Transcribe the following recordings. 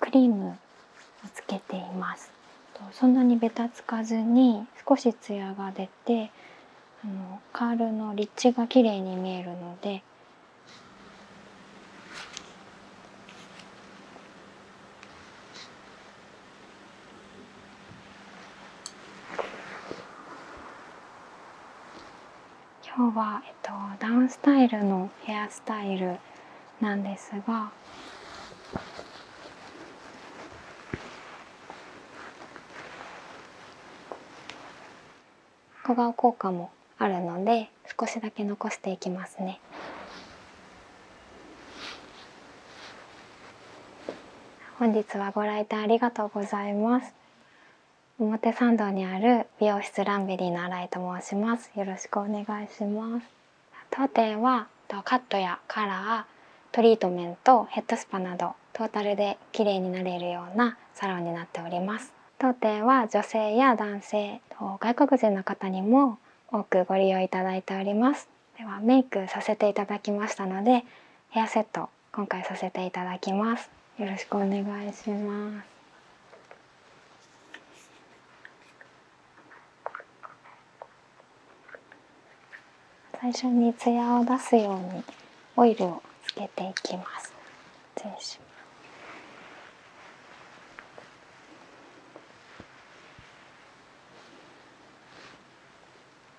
クリームをつけていますそんなにべたつかずに少しツヤが出てカールのリッチが綺麗に見えるので今日は、えっと、ダウンスタイルのヘアスタイルなんですが小顔効果もあるので少しだけ残していきますね。本日はご来店ありがとうございます。表参道にある美容室ランベリーの新井と申しますよろしくお願いします当店はカットやカラートリートメントヘッドスパなどトータルで綺麗になれるようなサロンになっております当店は女性や男性外国人の方にも多くご利用いただいておりますではメイクさせていただきましたのでヘアセット今回させていただきますよろしくお願いします最初にツヤを出すようにオイルをつけていきます失礼します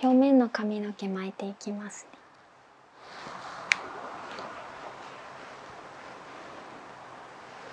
表面の髪の毛巻いていきます、ね、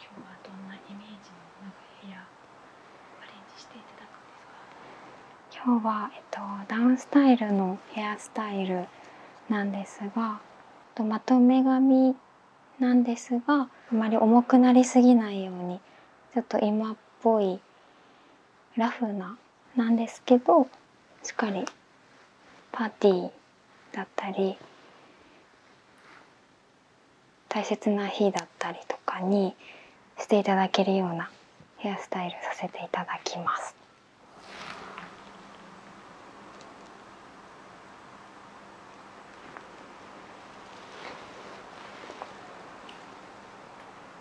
今日はどんなイメージのなんか部屋アレンジしていただくんですか今日は、えっと、ダウンスタイルのヘアスタイルなんですがとまとめ髪なんですがあまり重くなりすぎないようにちょっと今っぽいラフななんですけどしっかりパーティーだったり大切な日だったりとかにしていただけるようなヘアスタイルさせていただきます。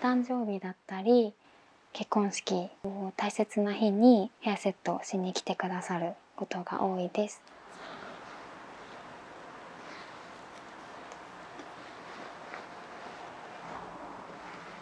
お誕生日だったり結婚式大切な日にヘアセットしに来てくださることが多いです。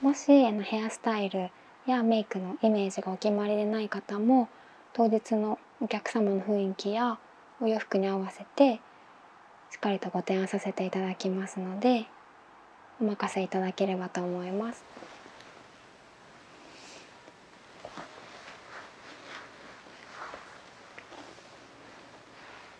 もしあのヘアスタイルやメイクのイメージがお決まりでない方も当日のお客様の雰囲気やお洋服に合わせてしっかりとご提案させていただきますのでお任せいただければと思います。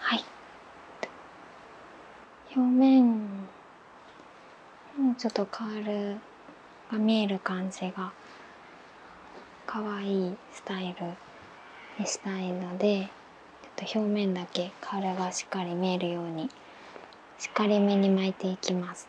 はい表面もちょっとカールが見える感じが可愛いスタイルにしたいのでちょっと表面だけカールがしっかり見えるようにしっかりめに巻いていきます。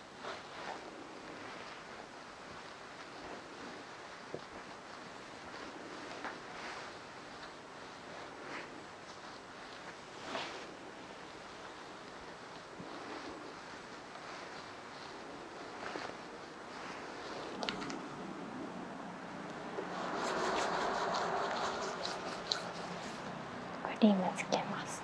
クリームつけます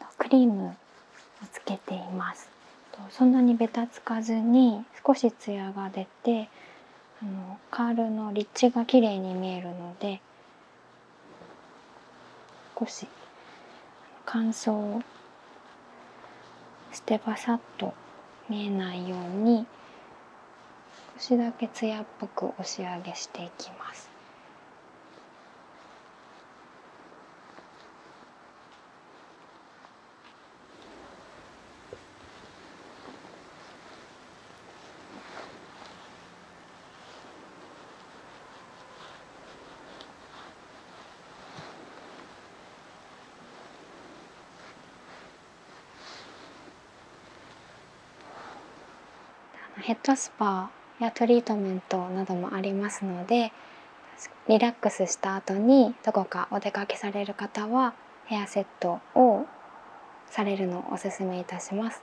あっ、クリームつけていますそんなにベタつかずに少しツヤが出てあのカールの立地が綺麗に見えるので少し乾燥してバサッと見えないように少しだけツヤっぽく押し上げしていきます。ヘッドスパーやトリートメントなどもありますのでリラックスした後にどこかお出かけされる方はヘアセットをされるのをおすすめいたします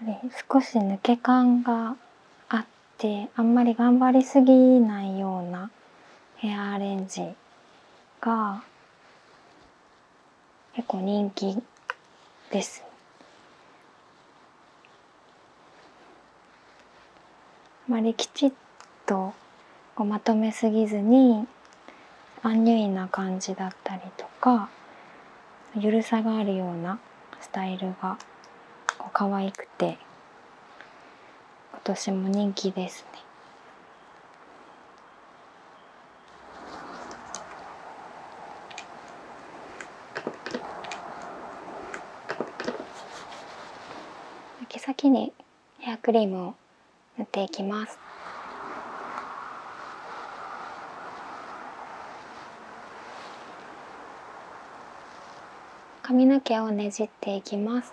これ少し抜け感があってあんまり頑張りすぎないようなヘアアレンジが結構人気です。あまりきちっとまとめすぎずにアンニュイな感じだったりとかゆるさがあるようなスタイルがこう可愛くて今年も人気ですね。毛先にヘリム塗っていきます髪の毛をねじっていきます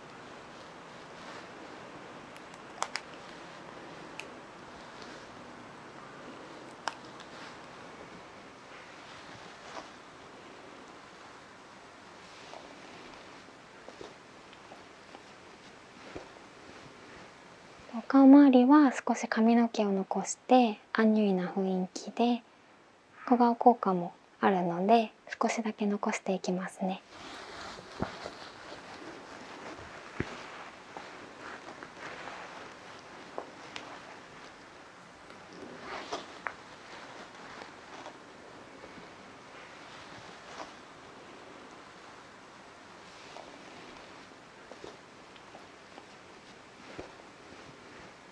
お顔周りは少し髪の毛を残してアンニュイな雰囲気で小顔効果もあるので少しだけ残していきますね。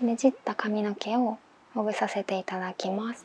ねじった髪の毛をほぐさせていただきます。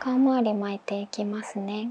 顔周り巻いていきますね。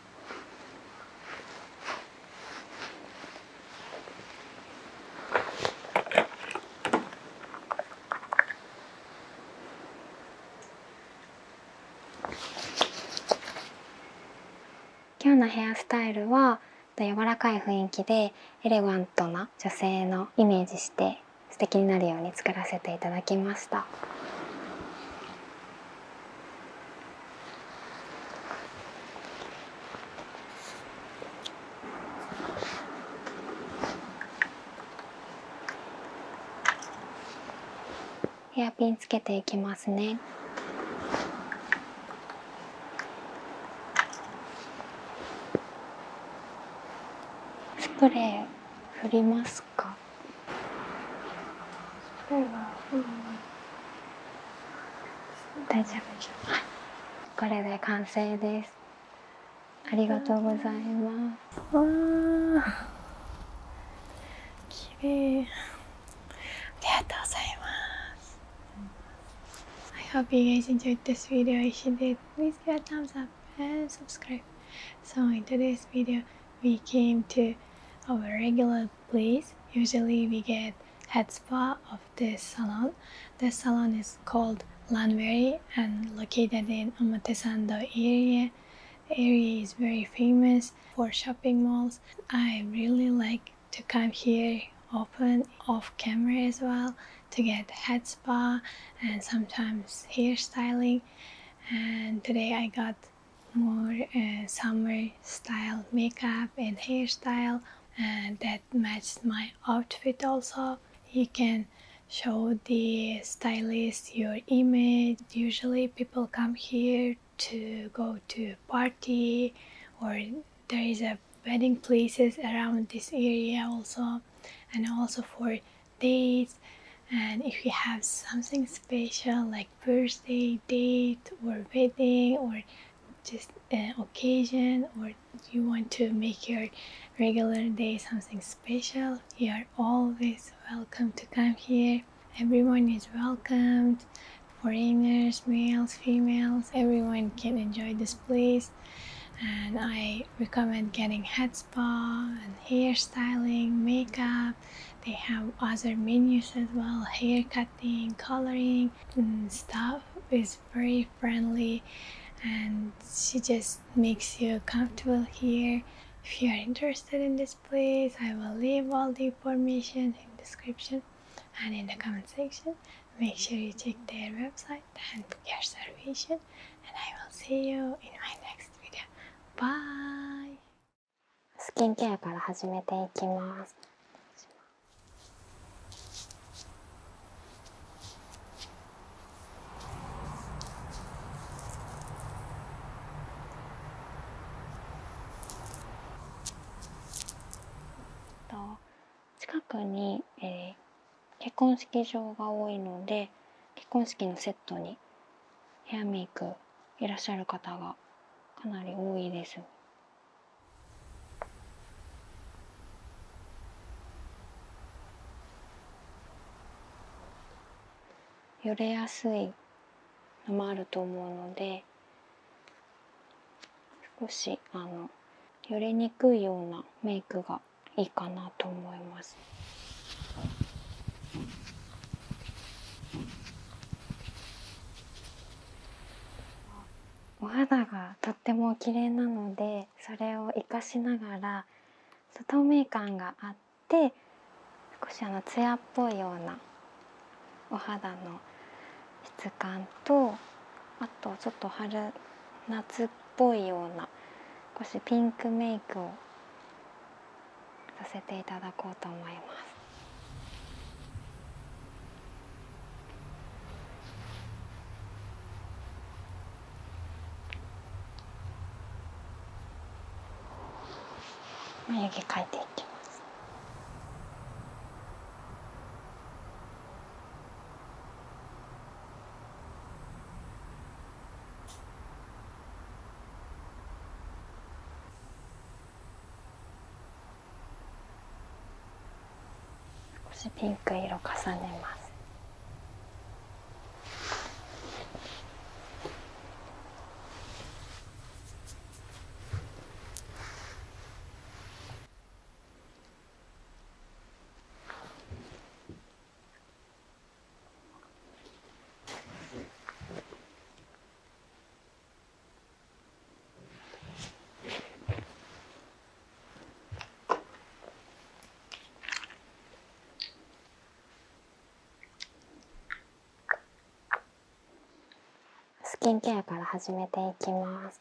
今日のヘアスタイルは柔らかい雰囲気でエレガントな女性のイメージして素敵になるように作らせていただきました。ヘアピンつけていきますね。スプレー振りますか？ですかそれは、うん、大丈夫です、はい、これで完成ですありがとうございますわー綺麗ありがとうございます I hope you guys enjoyed this video if you did please give a thumbs up and subscribe so in today's video we came to our regular place. Usually we get head spa of this salon. This salon is called Lanveri and located in Omotesando area. area is very famous for shopping malls. I really like to come here open off camera as well to get head spa and sometimes hair styling and today I got more uh, summer style makeup and hairstyle and uh, that matched my outfit also you can show the stylist your image usually people come here to go to party or there is a wedding places around this area also and also for dates and if you have something special like like birthday date or wedding or just an occasion or you want to make your regular day something special you are always welcome to come here everyone is welcomed foreigners males females everyone can enjoy this place and i recommend getting head spa and hair styling makeup they have other menus as well, hair cutting, coloring and stuff is very friendly and she just makes you comfortable here. If you are interested in this place, I will leave all the information in description and in the comment section. Make sure you check their website and book your reservation and I will see you in my next video. Bye! スキンケアから始めていきます。近くに、結婚式場が多いので結婚式のセットにヘアメイクいらっしゃる方がかなり多いです。よれやすいのもあると思うので少しあのよれにくいようなメイクがいいかなと思います。お肌がとっても綺麗なのでそれを活かしながら透明感があって少しあの艶っぽいようなお肌の質感とあとちょっと春夏っぽいような少しピンクメイクをさせていただこうと思います。眉毛描いていきます少しピンク色重ねますスキンケアから始めていきます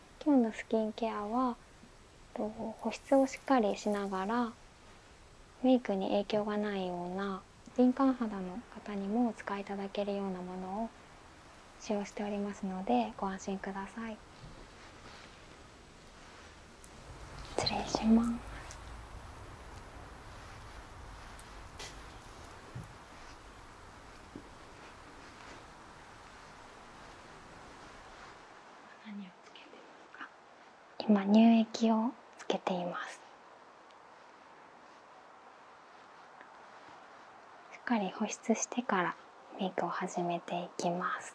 今日のスキンケアは保湿をしっかりしながらメイクに影響がないような敏感肌の方にもお使いいただけるようなものを使用しておりますのでご安心ください失礼します何をつけてますか今乳液をつけていますしっかり保湿してからメイクを始めていきます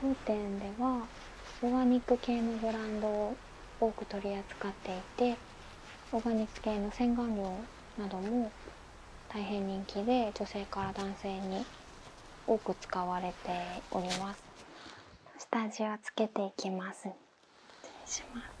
当店ではオーガニック系のブランドを多く取り扱っていてオーガニック系の洗顔料なども大変人気で女性から男性に多く使われております下地をつけていきます失礼します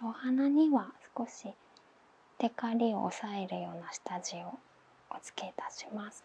お花には少しテカリを抑えるような下地をお付けいたします。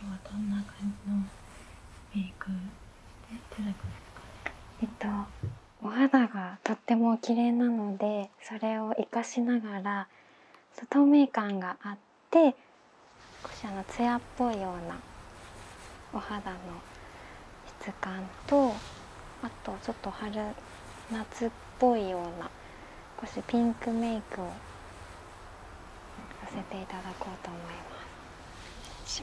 今日はどんな感じのメイクえっとお肌がとっても綺麗なのでそれを生かしながら透明感があって少しあの艶っぽいようなお肌の質感とあとちょっと春夏っぽいような少しピンクメイクをさせていただこうと思います。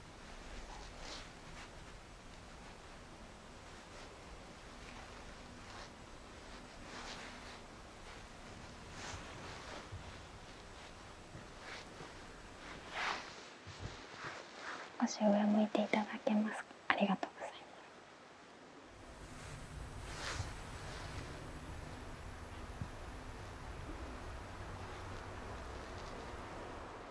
少上向いていただけますかありがとうございます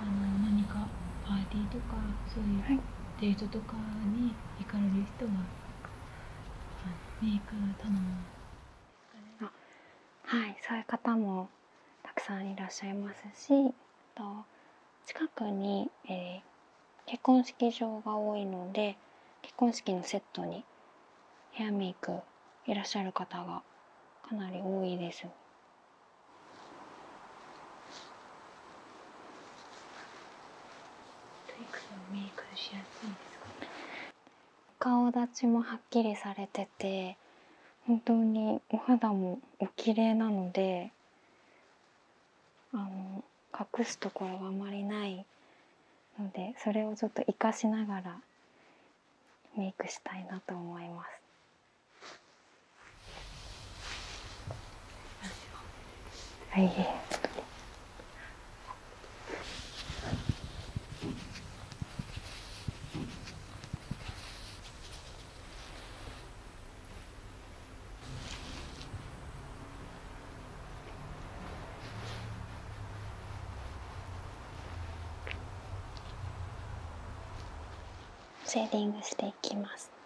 あの何かパーティーとかそういうデートとかに行かれる人が。はい、メイク頼むあはいそういう方もたくさんいらっしゃいますしと近くに、えー、結婚式場が多いので結婚式のセットにヘアメイクいらっしゃる方がかなり多いです。メイクしやすいですかね顔立ちもはっきりされてて本当にお肌もお綺麗なのであの隠すところがあまりないのでそれをちょっと活かしながらメイクしたいなと思います。はい。シェーディングしていきます。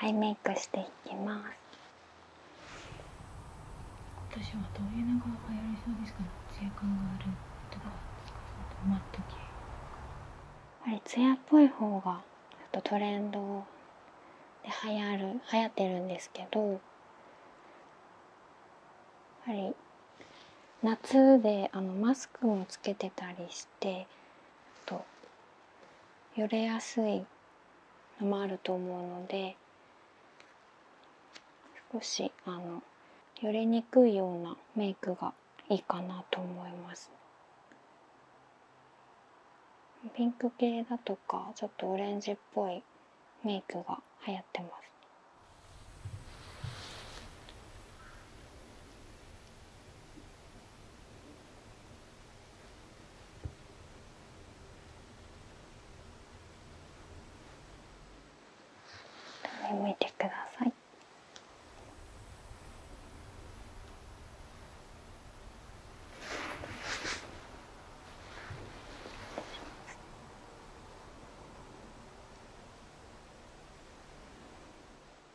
アイメイクしていきます私はどういう流行りそうですかツヤやっぱりツっぽい方がちとトレンドで流行る流行ってるんですけどやっぱり夏であのマスクもつけてたりしてとよれやすいのもあると思うので少しあのよれにくいようなメイクがいいかなと思います。ピンク系だとかちょっとオレンジっぽいメイクが流行ってます。向いてください。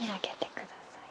開けてください。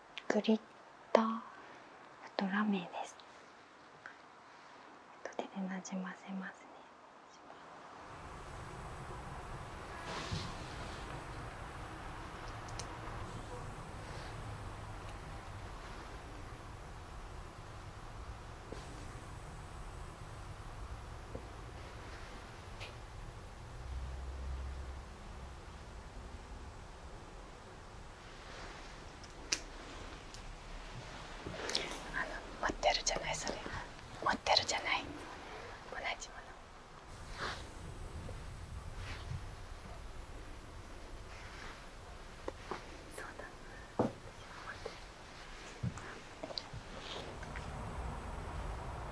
グリッターあとラメです後でなじませますね持ってるじゃないそれ持ってるじゃない同じものそうだ持ってる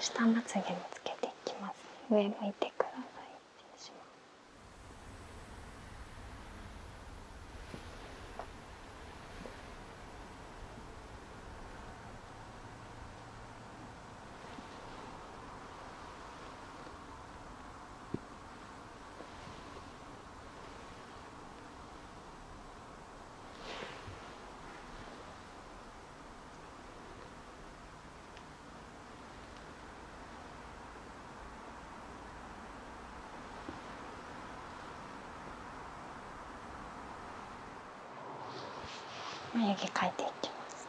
下まつげにつけていきます、上向いてください失礼します眉毛描いていきます。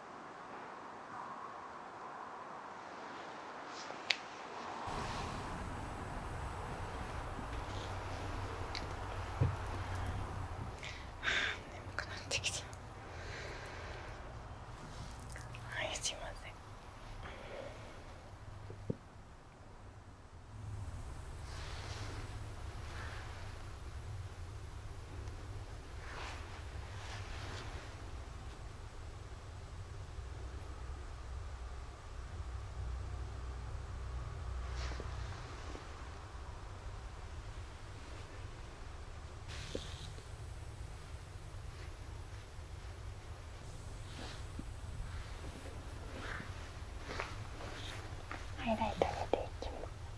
はあ眠くなってきたはいすいませんハイライトしていきます。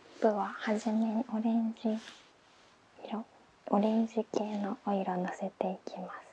ップはじめにオレンジ色オレンジ系のお色のせていきます。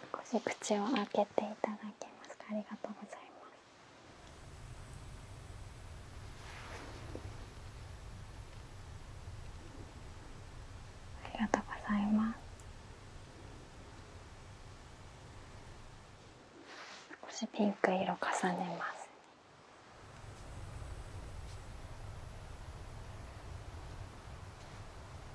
少し口を開けていただけますかありがとうございますありがとうございます少しピンク色重ねます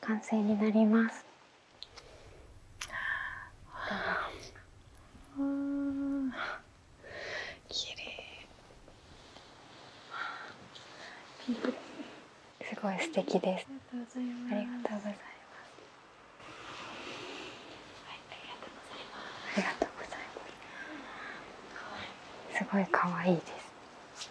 完成になります。すごい素敵でいす。ありがとうございます。すごい可愛いです。